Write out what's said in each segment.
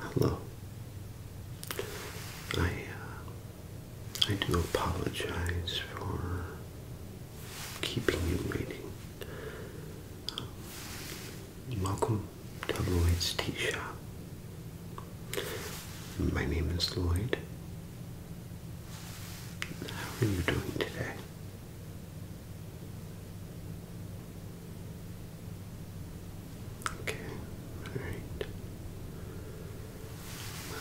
Hello. I uh, I do apologize for keeping you waiting. Um, welcome to Lloyd's Tea Shop. My name is Lloyd. How are you doing today? Okay, alright.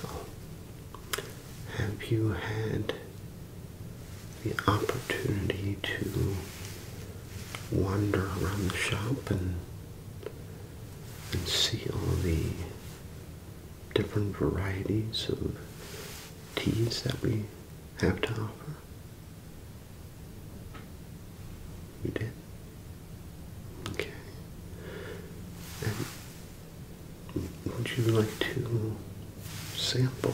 Well, have you had the opportunity to wander around the shop and and see all the different varieties of teas that we have to offer? You did? Okay. And would you like to sample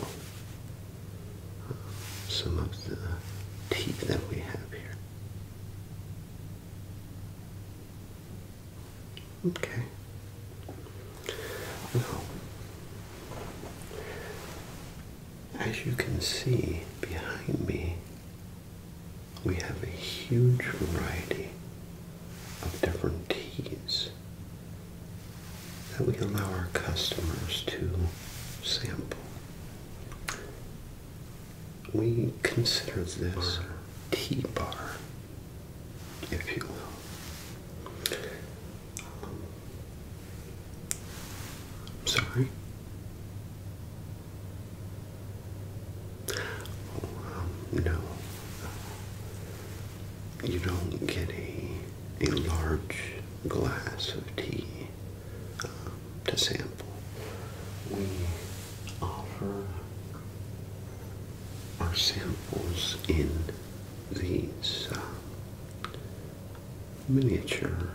uh, some of the teeth that we have here? Okay. Well, as you can see behind me, we have a huge variety of different teas that we allow our customers to sample. We consider this our tea bar, if you will. Um, sorry no. You don't get a, a large glass of tea um, to sample. We offer our samples in these uh, miniature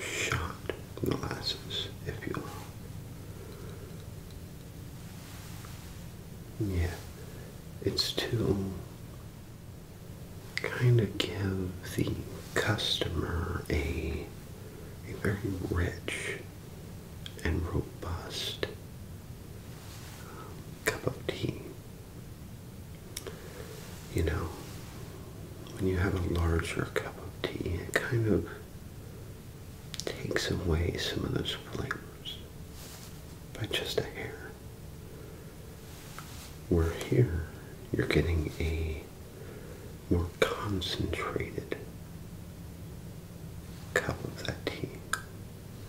shot glasses, if you will. Yeah, it's to kind of give the customer a, a very rich and robust um, cup of tea. You know, when you have a larger cup of tea, it kind of takes away some of those flavors by just a hair. Where here you're getting a more concentrated cup of that tea,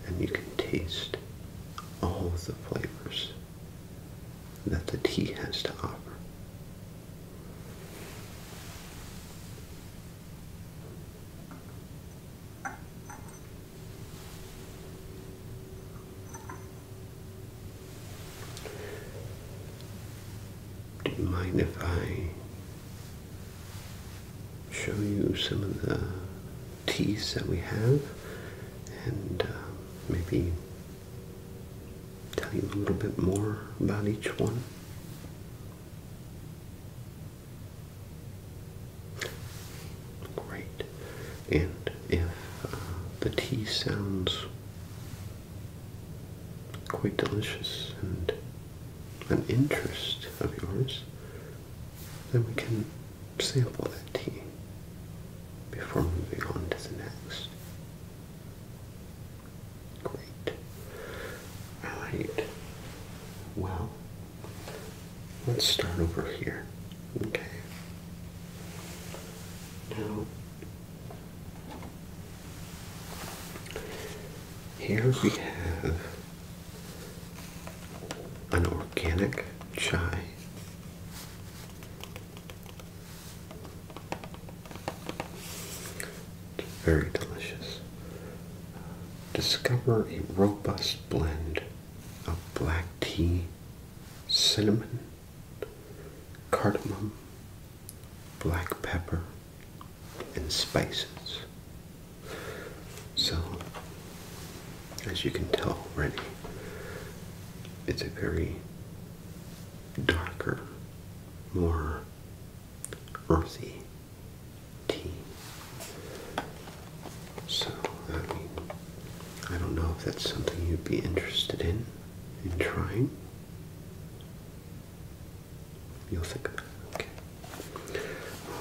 and you can taste all of the flavors that the tea has to offer. Do you mind if I show you some of the teeth that we have and uh, maybe tell you a little bit more about each one. Great. And if uh, the tea sounds quite delicious and an interest of yours, then we can sample that tea before moving on to the next. Great. All right. Well, let's start over here. Okay. Now, here we have an organic chai. Very delicious. Discover a robust blend of black tea, cinnamon, cardamom, black pepper, and spices. So, as you can tell already, it's a very darker, more Aussie tea. So, I don't know if that's something you'd be interested in, in trying. You'll think about it, okay.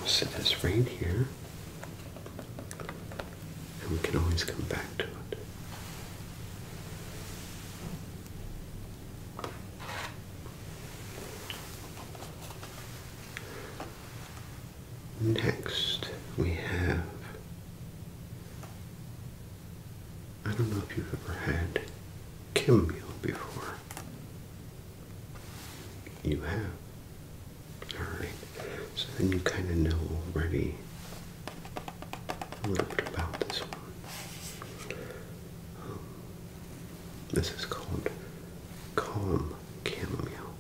I'll set this right here, and we can always come back to it. Next, we have. I don't know if you've ever had Kimmule before. You have. Alright, so then you kind of know already a little bit about this one. Um, this is called calm chamomile,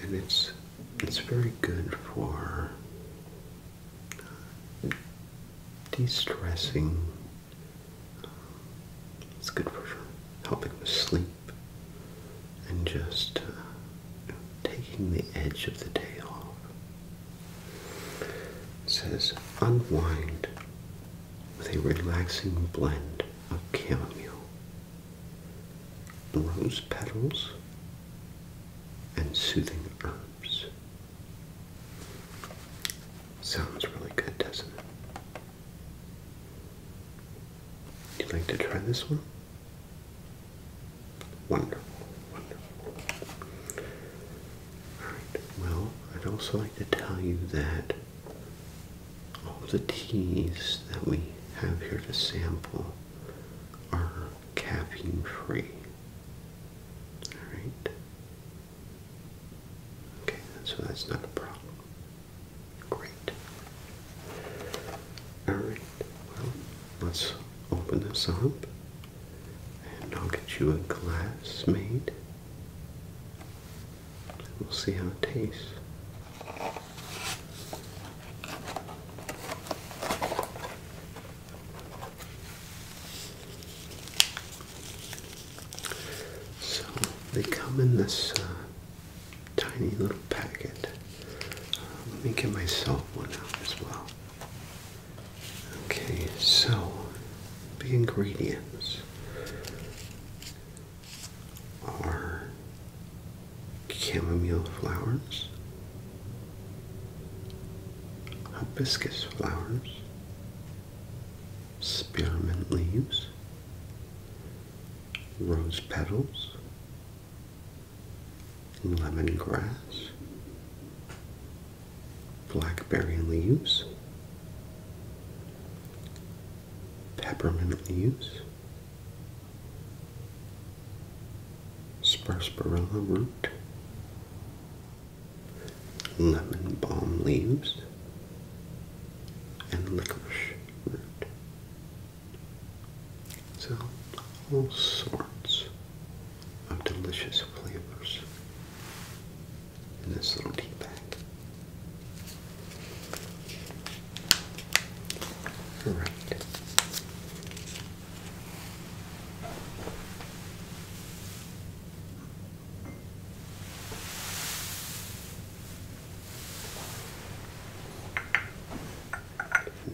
and it's it's very good for uh, de-stressing. It's good for helping with sleep and just uh, taking the edge of the day off. It says unwind with a relaxing blend of chamomile, rose petals, and soothing herbs. Sounds really good, doesn't it? You'd like to try this one? Wonderful, wonderful well, I'd also like to tell you that all the teas that we have here to sample are caffeine free. Alright? Okay, so that's not a problem. Great. Alright, well, let's open this up and I'll get you a glass made. We'll see how it tastes. So they come in this uh, tiny little packet. Uh, let me get myself one out as well. Okay, so the ingredients are chamomile flowers, hibiscus flowers, spearmint leaves, rose petals, lemongrass, blackberry leaves, peppermint leaves, sparsebarilla root, lemon balm leaves, and licorice root. So, all sorts of delicious flavors in this little tea bag. All right.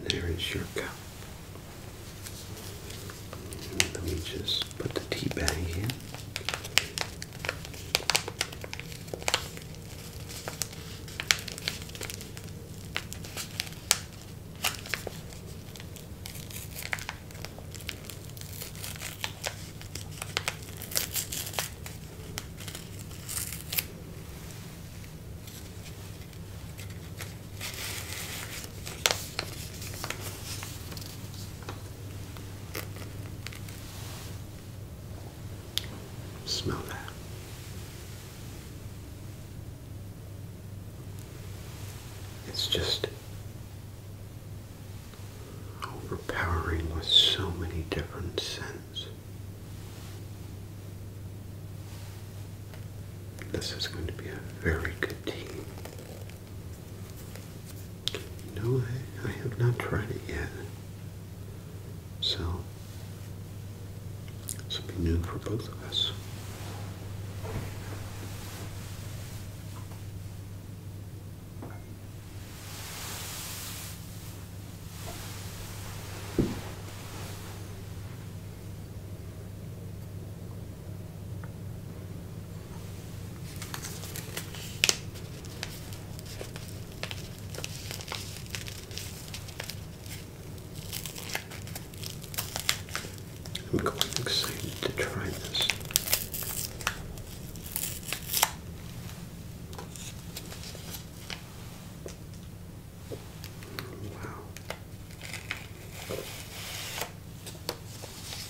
There is your cup. Let me just put the tea bag here. Smell that. It's just overpowering with so many different scents. This is going to be a very good tea. No, I, have not tried it yet. So, this will be new for both of us. I'm quite excited to try this. Wow.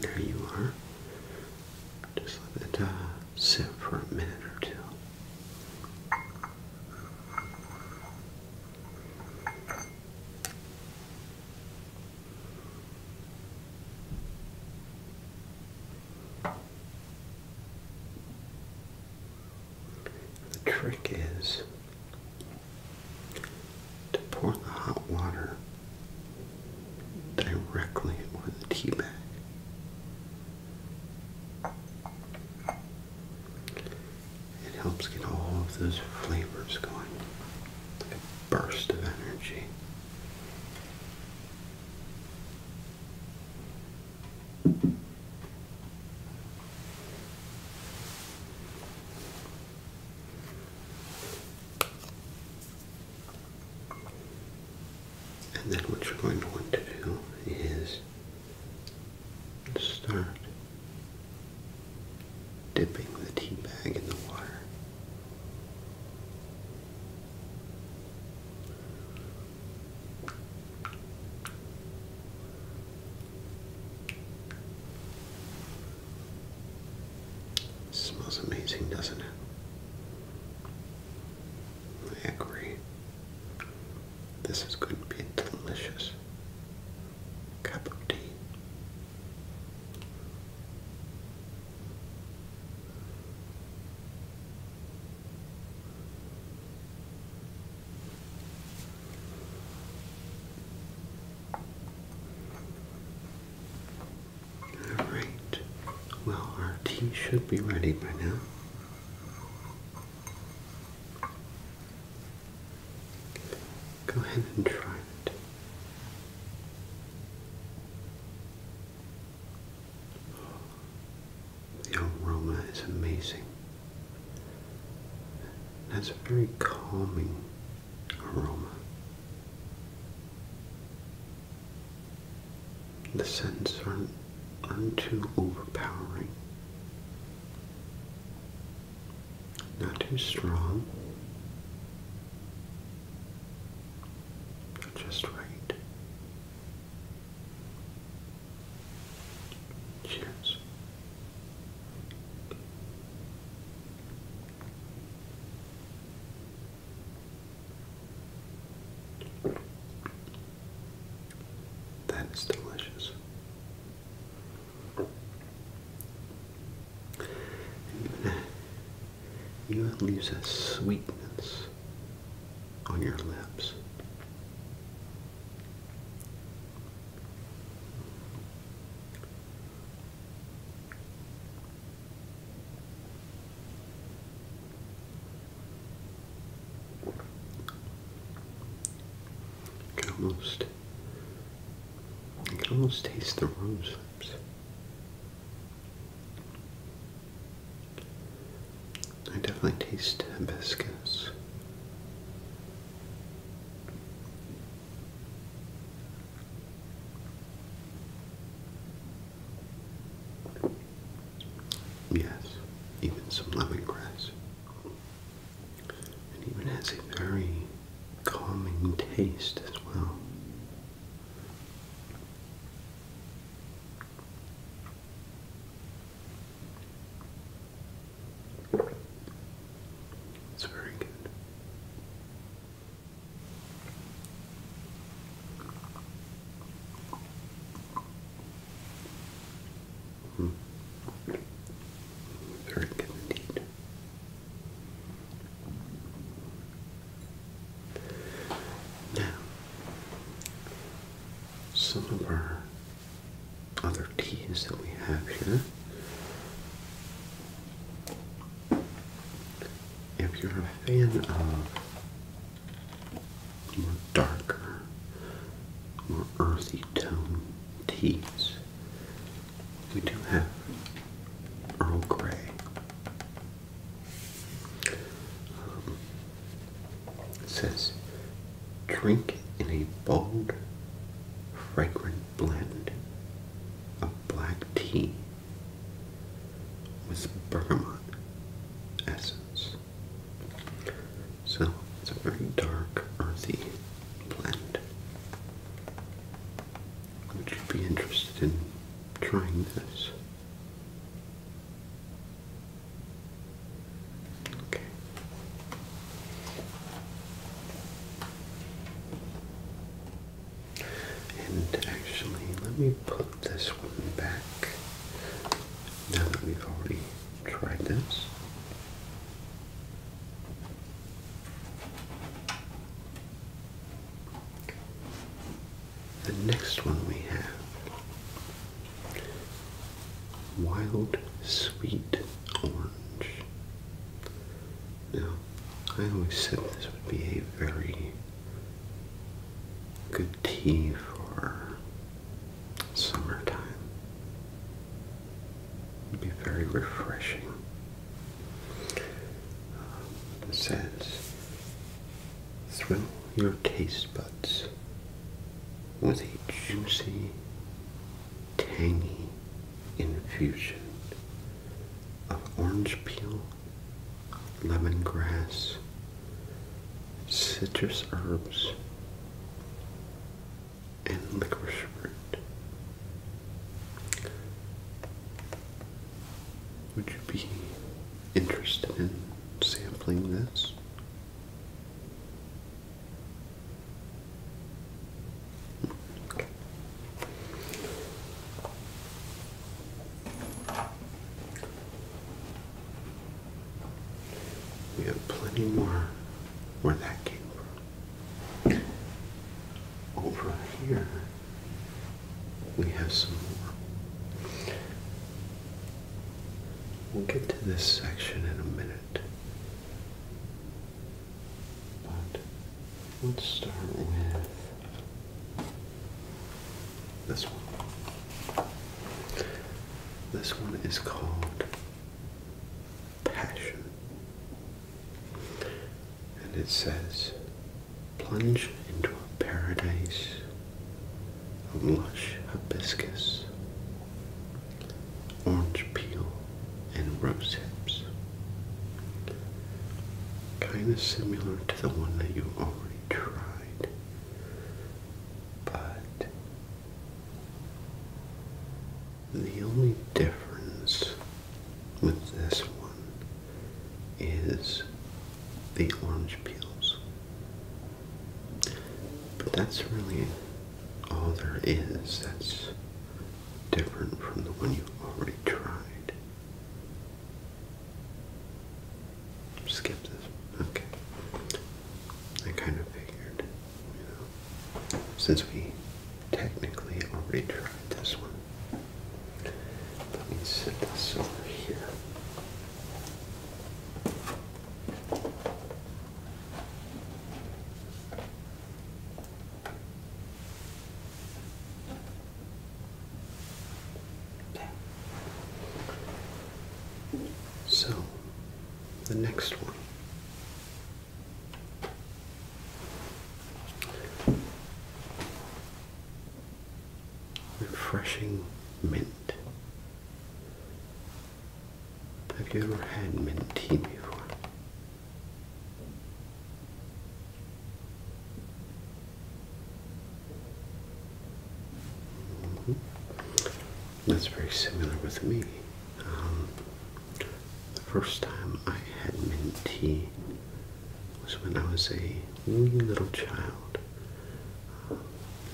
There you are. Just let it uh, sit for a minute or two. The trick is to pour the hot water directly over the tea bag. It helps get all of those flavors going. Like a burst of energy. And then what you're going to want to do is and start dipping the tea bag in the water. smells amazing, doesn't it? I This is going to be delicious cup of tea. All right. Well, our tea should be ready by now. Go ahead and try it. The aroma is amazing. That's a very calming aroma. The scents aren't, aren't too overpowering. Not too strong. Just right. Cheers. That is delicious. You leaves a sweetness on your lips. almost taste. I can almost taste the rose lips. I definitely taste hibiscus. Yes, even some lemongrass. It even has a very calming taste as well. It's very good. Hmm. Very good indeed. Now, some of our other teas that we have here. If you're a fan of more darker, more earthy tone teas, we do have Earl Grey. Um, it says, drink in a bold, fragrant blend of black tea with bergamot essence. So it's a very dark, earthy blend. Would you be interested in trying this? Okay. And actually, let me put this one back now that we've already tried this. The next one we have Wild Sweet Orange. Now, I always said this would be a very good tea for summertime. It'd be very refreshing. Um, it says, thrill your taste buds with a juicy, tangy infusion of orange peel, lemongrass, citrus herbs, and licorice root. Would you be interested in sampling this? We have plenty more where that came from. Over here, we have some more. We'll get to this section in a minute. But let's start with this one. This one is called passion. And it says, plunge into a paradise of lush hibiscus, orange peel, and rose hips. Kind of similar to the one that you already tried, but the only difference with this one is the orange peels. But that's really all there is that's different from the one you already tried. Skip this. Okay. I kind of figured since we technically already tried this one. Let me set this over here. So, the next one Refreshing mint. Have you ever had mint tea before? Mm-hmm. That's very similar with me. Um, the first time I had mint tea was when I was a wee little child uh,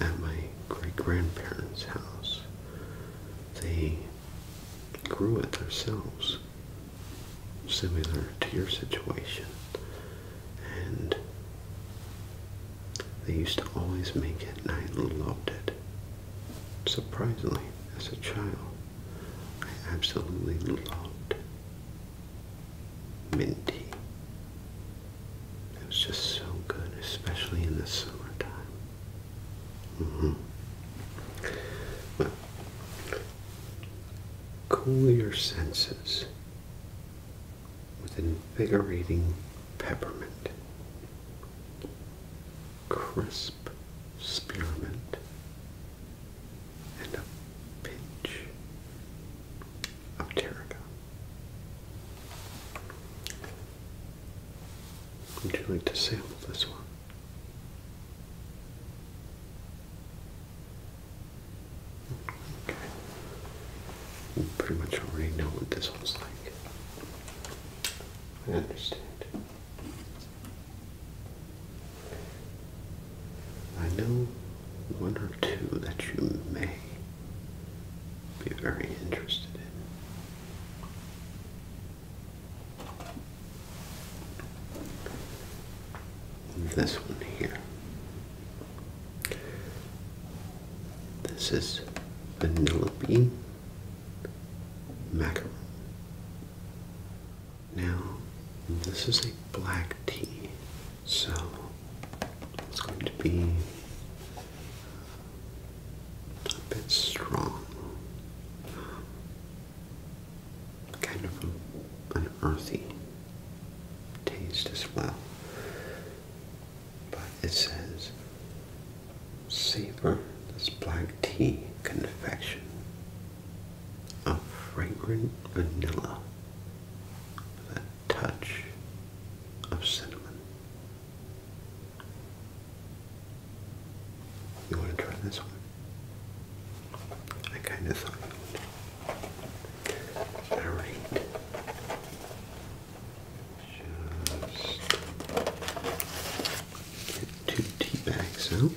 at my great grandparents' house. They grew it themselves, similar to your situation, and they used to always make it, and I loved it. Surprisingly, as a child, I absolutely loved minty. It was just so good, especially in the summertime. Mm -hmm. cool your senses with invigorating peppermint crisp spearmint and a pinch of tarragon. Would you like to sample this one? Okay. You pretty much already know what this one's like. I understand. I know one or two that you may be very interested in. This one here. This is vanilla bean macaron. Now, this is a black tea, so it's going to be a bit strong. Kind of an earthy taste as well. But it says savor this black tea confection of fragrant vanilla with a touch of cinnamon. You want to try this one? I kind of thought All right. Just get two tea bags out.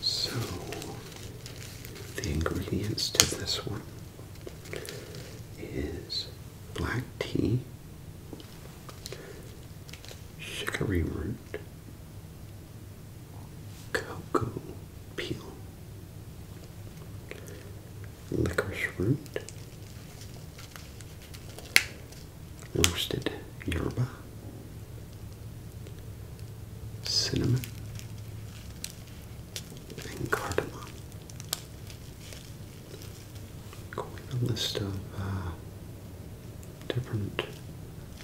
So, the ingredients to this one is black tea, chicory root, cocoa peel, licorice root, roasted yerba, cinnamon, and cardamom. Quite a list of uh, different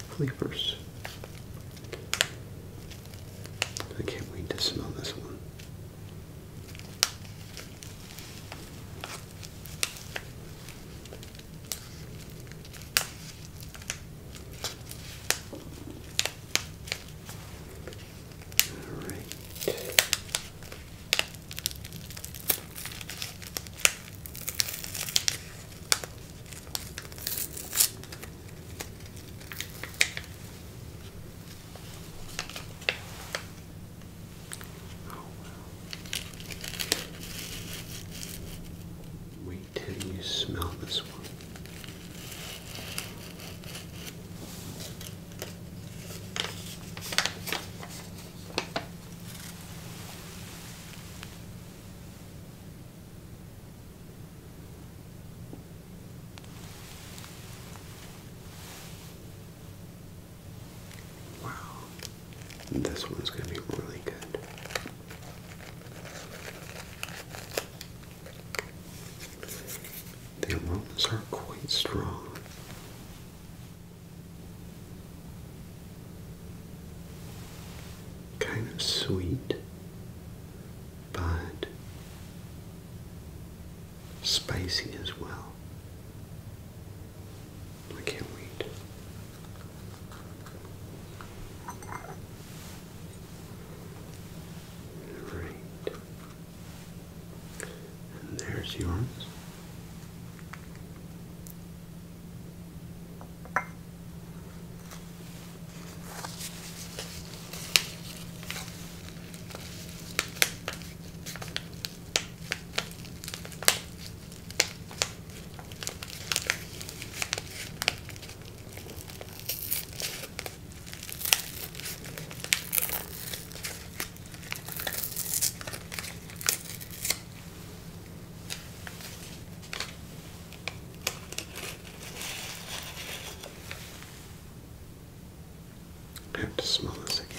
flavors. I can't wait to smell this one. All right. Oh, well. Wait till you smell this one. Wow, this one's going to be really good. The aromas are quite strong. Kind of sweet, but spicy as well. I can't wait. Right. And there's yours. I have to smell this again.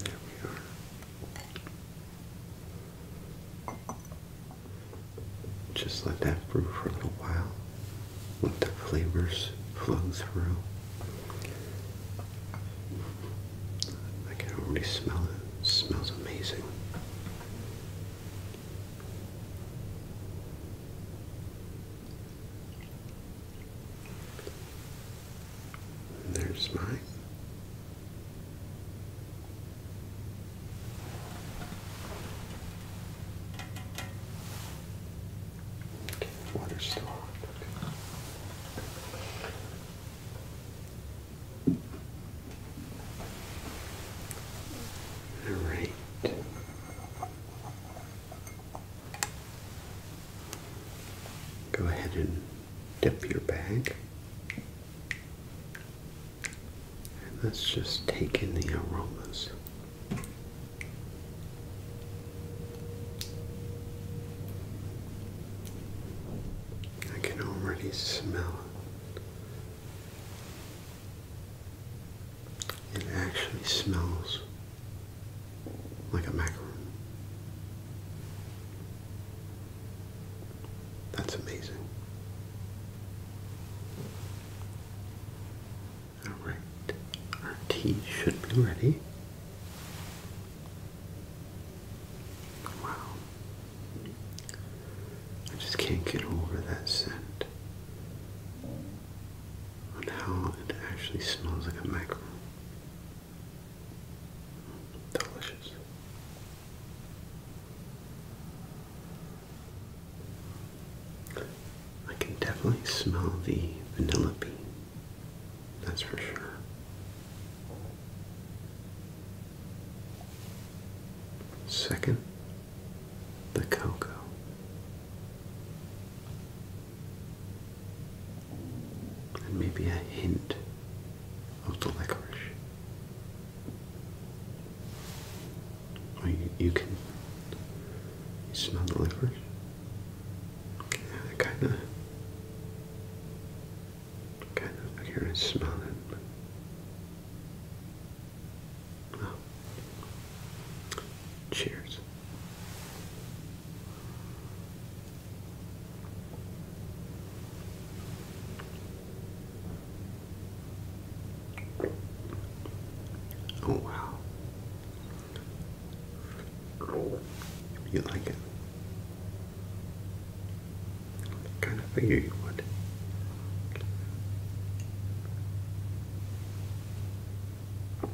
there we are. Just let that brew for a little while let the flavors flow through. I can already smell it. smells amazing. there's mine. Water still all right. Go ahead and dip your bag. And let's just take in the aromas. I can already smell it. It actually smells like a macaron. That's amazing. Alright, our tea should be ready. Wow. I just can't get over that scent. On how it actually smells like a mackerel. Delicious. I can definitely smell the vanilla bean that's for sure. Second, the cocoa. And maybe a hint of the licorice. you, can you smell the licorice? kind of, kind of, I can smell it. oh. Cheers. Oh wow. You like it? I kind of figure you would.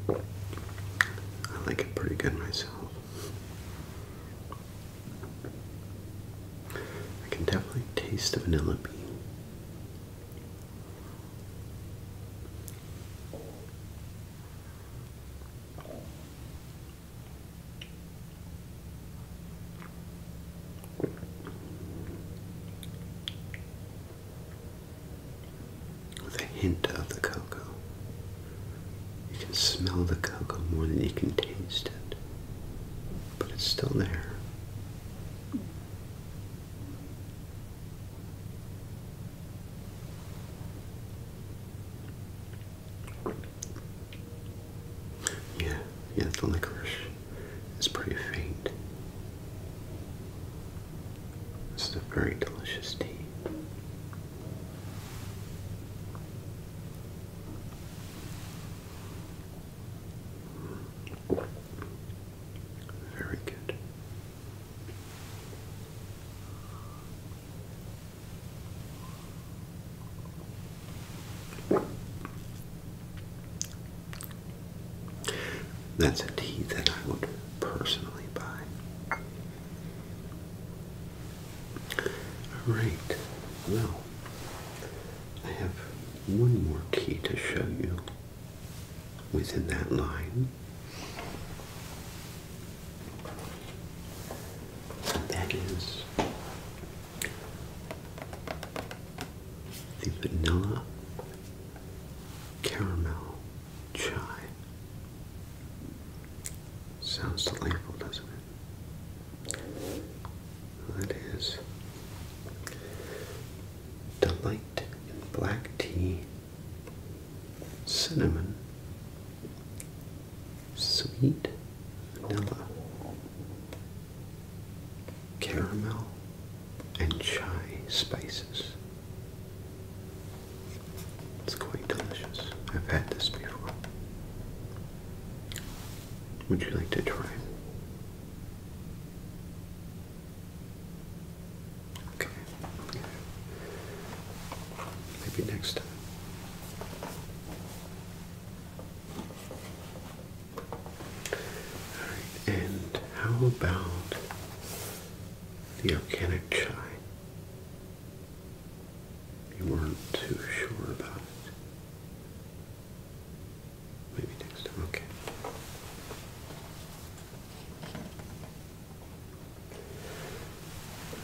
I like it pretty good myself. I can definitely taste the vanilla bean. With a hint of the cocoa. You can smell the cocoa more than you can taste it, but it's still there. Yeah, yeah, the licorice is pretty faint. This is a very delicious tea. Very good. That's a key that I would personally buy. Alright, well, I have one more key to show you within that line. That is the vanilla caramel chai. Sounds delightful, doesn't it? That is delight in black tea cinnamon, sweet vanilla, caramel, and chai spices. It's quite delicious. I've had this before. Would you like to try it? Okay. Maybe next time. Alright, and how about the organic chai? You weren't too sure about it. Maybe next time, okay.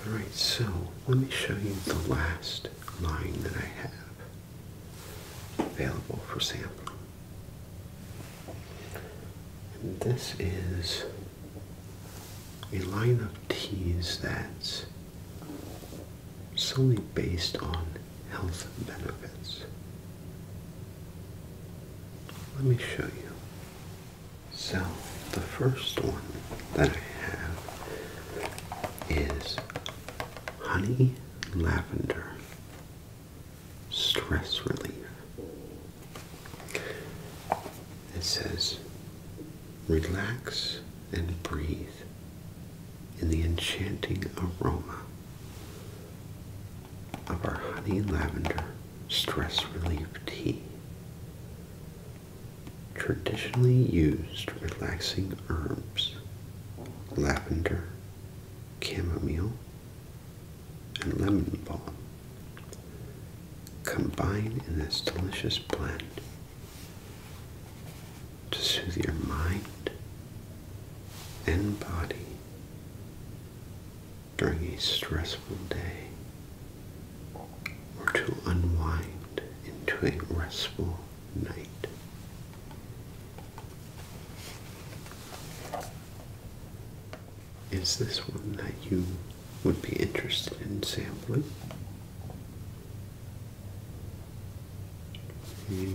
Alright, so let me show you the last line that I have available for sampling. this is a line of teas that's solely based on health benefits. Let me show you. So the first one that I have is honey lavender stress relief. It says relax and breathe in the enchanting aroma of our honey lavender stress relief tea. Traditionally used relaxing herbs, lavender, chamomile, and lemon balm combine in this delicious blend to soothe your mind and body during a stressful day or to unwind into a restful night. Is this one that you would be interested in sampling? Hmm.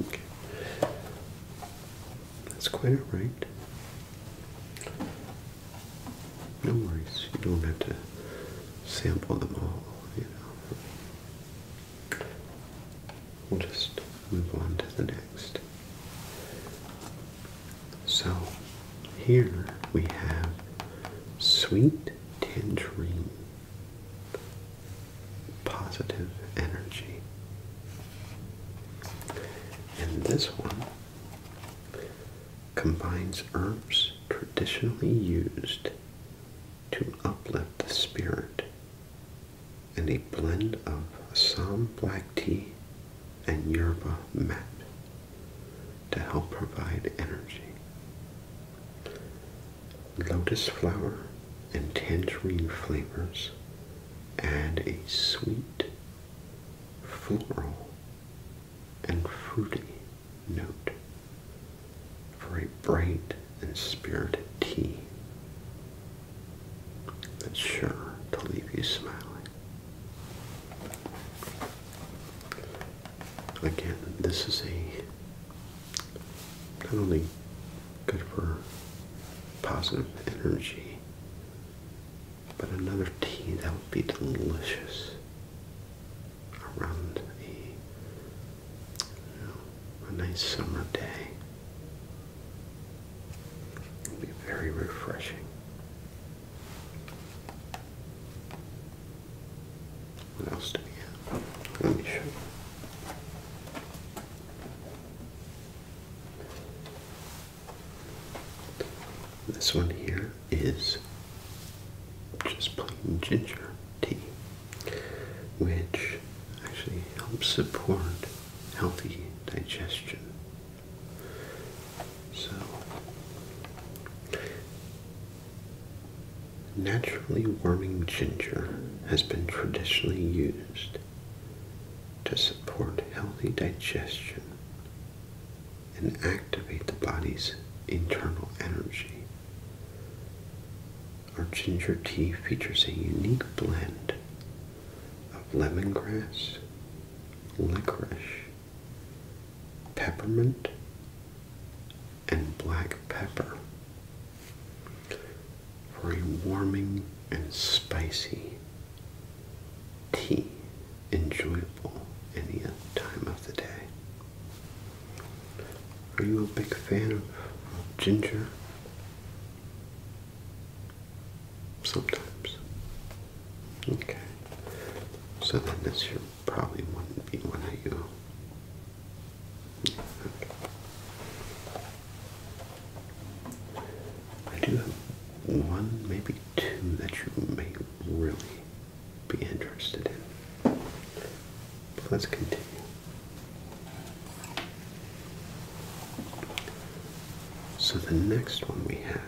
Okay. That's quite all right. No worries. You don't have to sample them all, you know. We'll just move on to the next. So here we have sweet tangerine positive energy. And this one combines herbs traditionally used to uplift the spirit and a blend of Assam black tea and yerba mate to help provide energy. Lotus flower and tangerine flavors add a sweet floral and fruity note for a bright and spirited tea that's sure to leave you smiling. Again, this is a not only good for positive energy but another tea that would be delicious around a, nice summer day. It would be very refreshing. What else do we have? Let me show you. This one here is just plain ginger tea, which actually helps support healthy digestion. So, naturally warming ginger has been traditionally used to support healthy digestion and activate the body's internal energy. Our ginger tea features a unique blend of lemongrass, licorice, peppermint, and black pepper for a warming and spicy tea enjoyable any time of the day? Are you a big fan of, ginger? Sometimes. Okay. So then this year probably wouldn't be one of you. I do have one, maybe two that you may really be interested in. let's continue. So the next one we have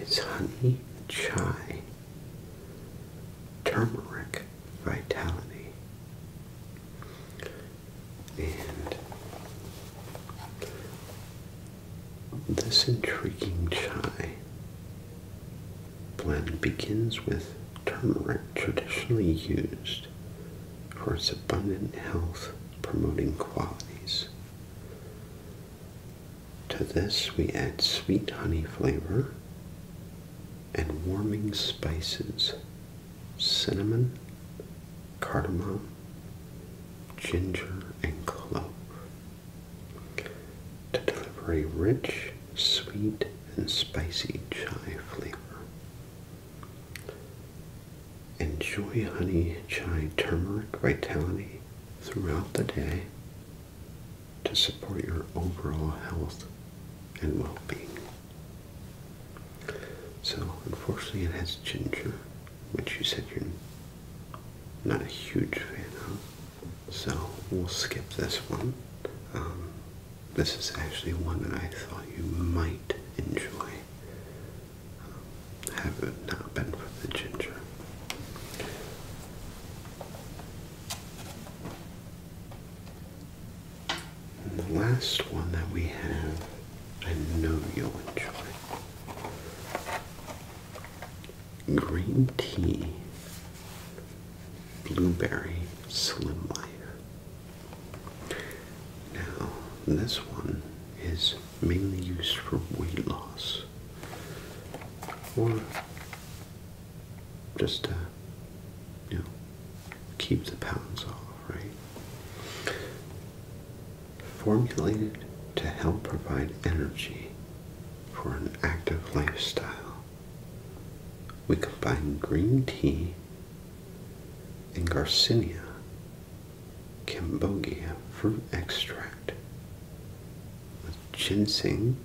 is honey chai turmeric vitality. And this intriguing chai blend begins with turmeric traditionally used for its abundant health promoting qualities. To this, we add sweet honey flavor and warming spices cinnamon, cardamom, ginger, and clove to deliver a rich, sweet, and spicy chai flavor. Enjoy honey chai turmeric vitality throughout the day to support your overall health and well being. So, unfortunately, it has ginger which you said you're not a huge fan of, so we'll skip this one. Um, this is actually one that I thought you might enjoy. Um, have it not been for the ginger. And the last one that we have I know you'll enjoy. Green tea, blueberry, slim life. Now, this one is mainly used for weight loss or just to, you know, keep the pounds off, right? formulated to help provide energy for an active lifestyle. We combine green tea and Garcinia cambogia fruit extract with ginseng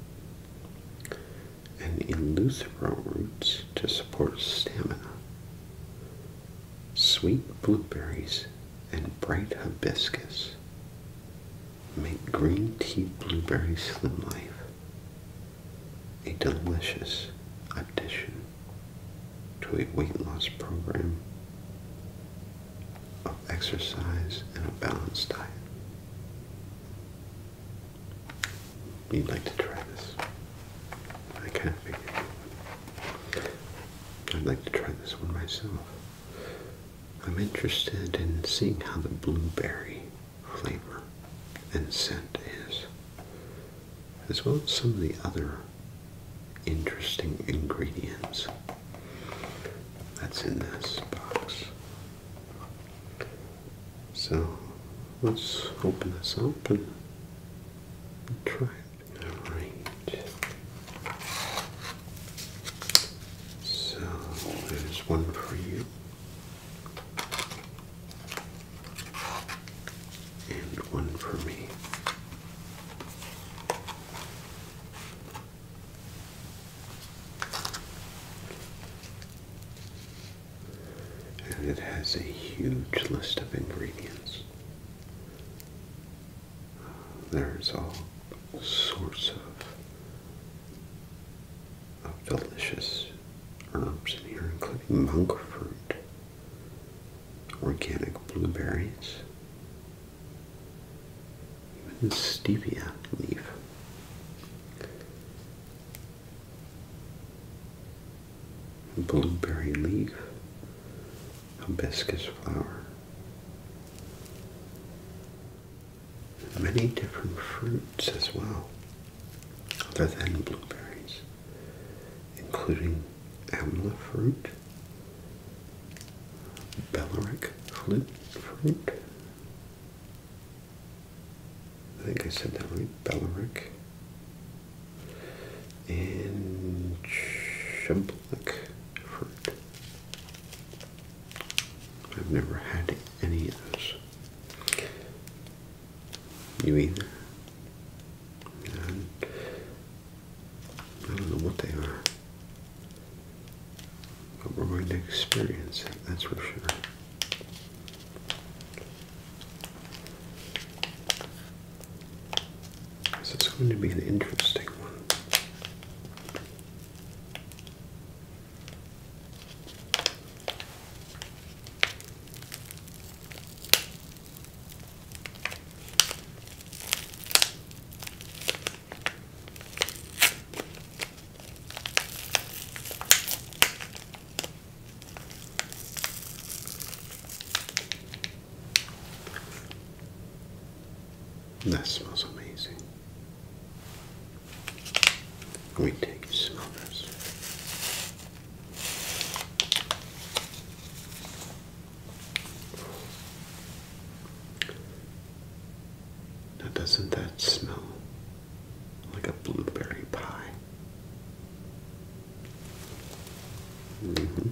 and eleuthero roots to support stamina. Sweet blueberries and bright hibiscus make green tea blueberry slim life a delicious addition to a weight loss program of exercise and a balanced diet. You'd like to try this. I kind of figured. I'd like to try this one myself. I'm interested in seeing how the blueberry flavor and scent is, as well as some of the other interesting ingredients that's in this box. So let's open this up and try it. All right. So there's one for you. And one for me. And it has a huge list of ingredients. There's all sorts of, delicious herbs in here, including monk fruit, organic blueberries, even stevia leaf. Blueberry leaf, hibiscus flower, many different fruits as well, other than blueberries, including amla fruit, belleric fruit, I think I said that right, belleric, and chub like fruit. I've never had any of those. You either? I don't know what they are. But we're going to experience it, that's for sure. So it's going to be an interesting one. That smells amazing. Let me take you smell Now doesn't that smell like a blueberry pie? Mm -hmm.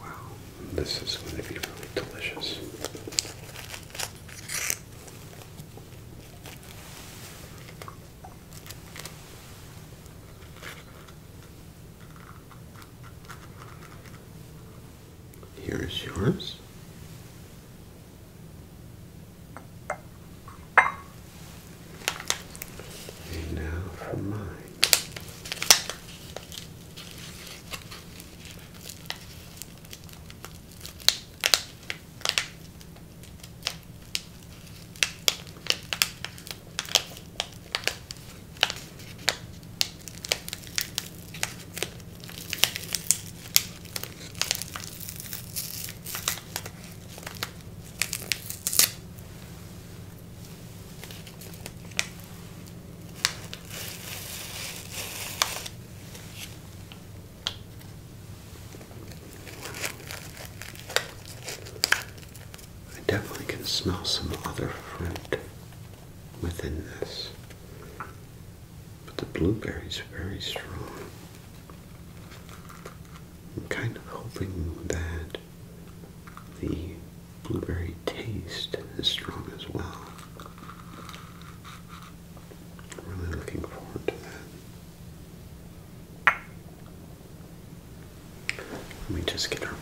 Wow, this is going to be really delicious. Here is yours. And now for mine. I definitely can smell some other fruit within this, but the blueberries are very strong. I'm kind of hoping that the blueberry taste is strong as well. I'm really looking forward to that. Let me just get our water.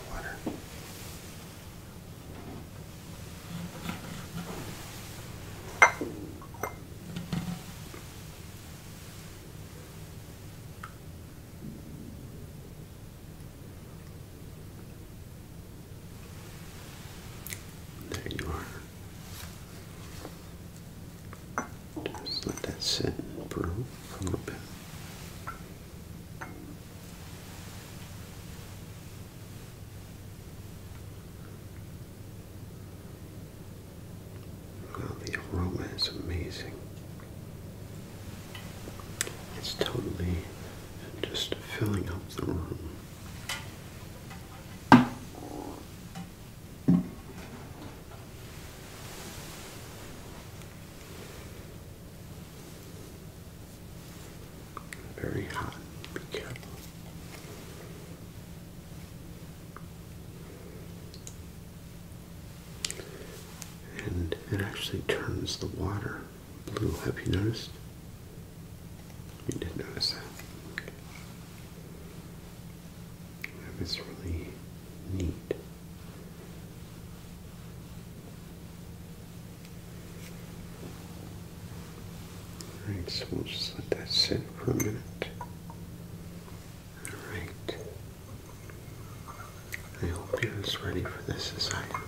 There you are. Just let that sit and brew a little bit. Well, the aroma is amazing. It's totally just filling up the room. Very hot, be careful. And it actually turns the water blue. Have you noticed? You did notice that. That is really neat. Alright, so we'll just let that sit for a minute. Alright. I hope you're as ready for this as I am.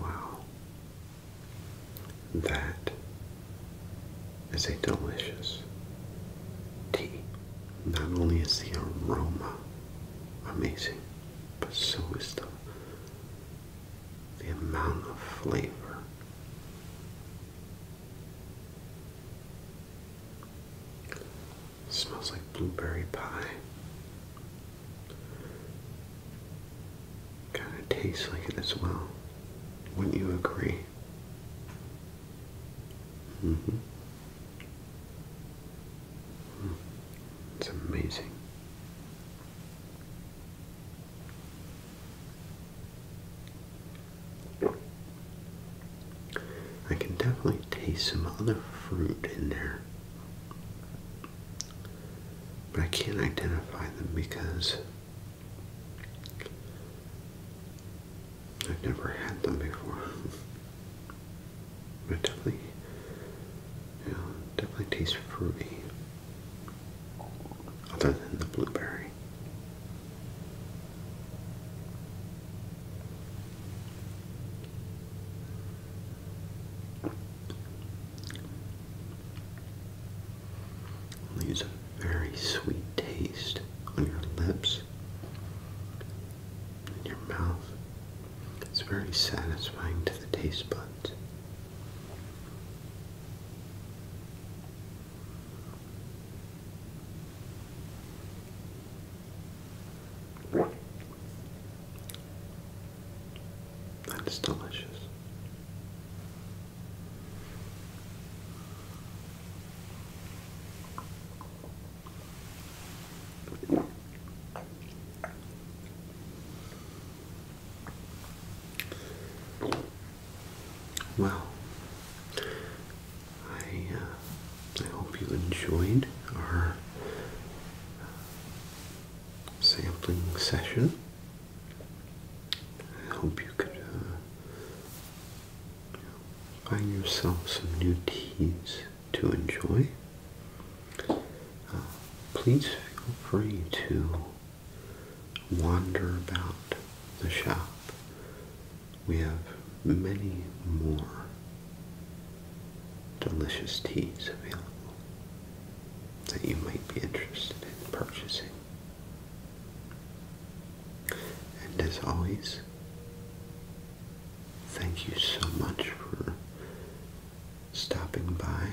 Wow. That is a delicious tea. Not only is the aroma amazing, but so is the the amount of flavor. smells like blueberry pie. Kind of tastes like it as well. Wouldn't you agree? Mm -hmm. It's amazing. I can definitely taste some other fruit in there. But I can't identify them because I've never had them before. But definitely, yeah, definitely tastes fruity. Other than the blueberry. i very sweet taste on your lips and your mouth. It's very satisfying to the taste buds. That is delicious. Wow. I uh, I hope you enjoyed our uh, sampling session. I hope you could uh, find yourself some new teas to enjoy, uh, please feel free to wander about the shop. We have many more delicious teas available that you might be interested in purchasing. And as always, thank you so much for stopping by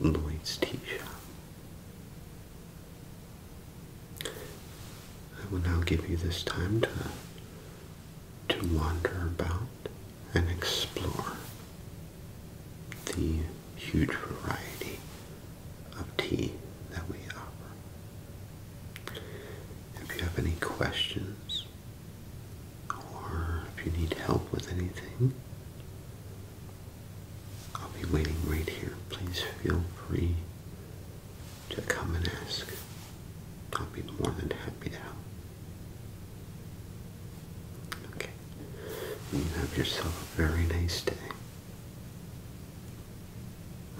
Lloyd's Tea Shop. I will now give you this time to to wander about and explore the huge variety of tea that we offer. If you have any questions or if you need help with anything, I'll be waiting right here. Please feel free to come and ask. I'll be more than happy to help. Okay. You have yourself a very nice day.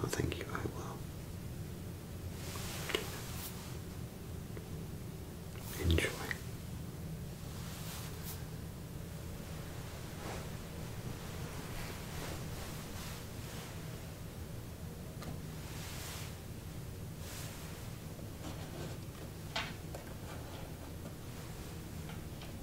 Oh, thank you, I will. Enjoy.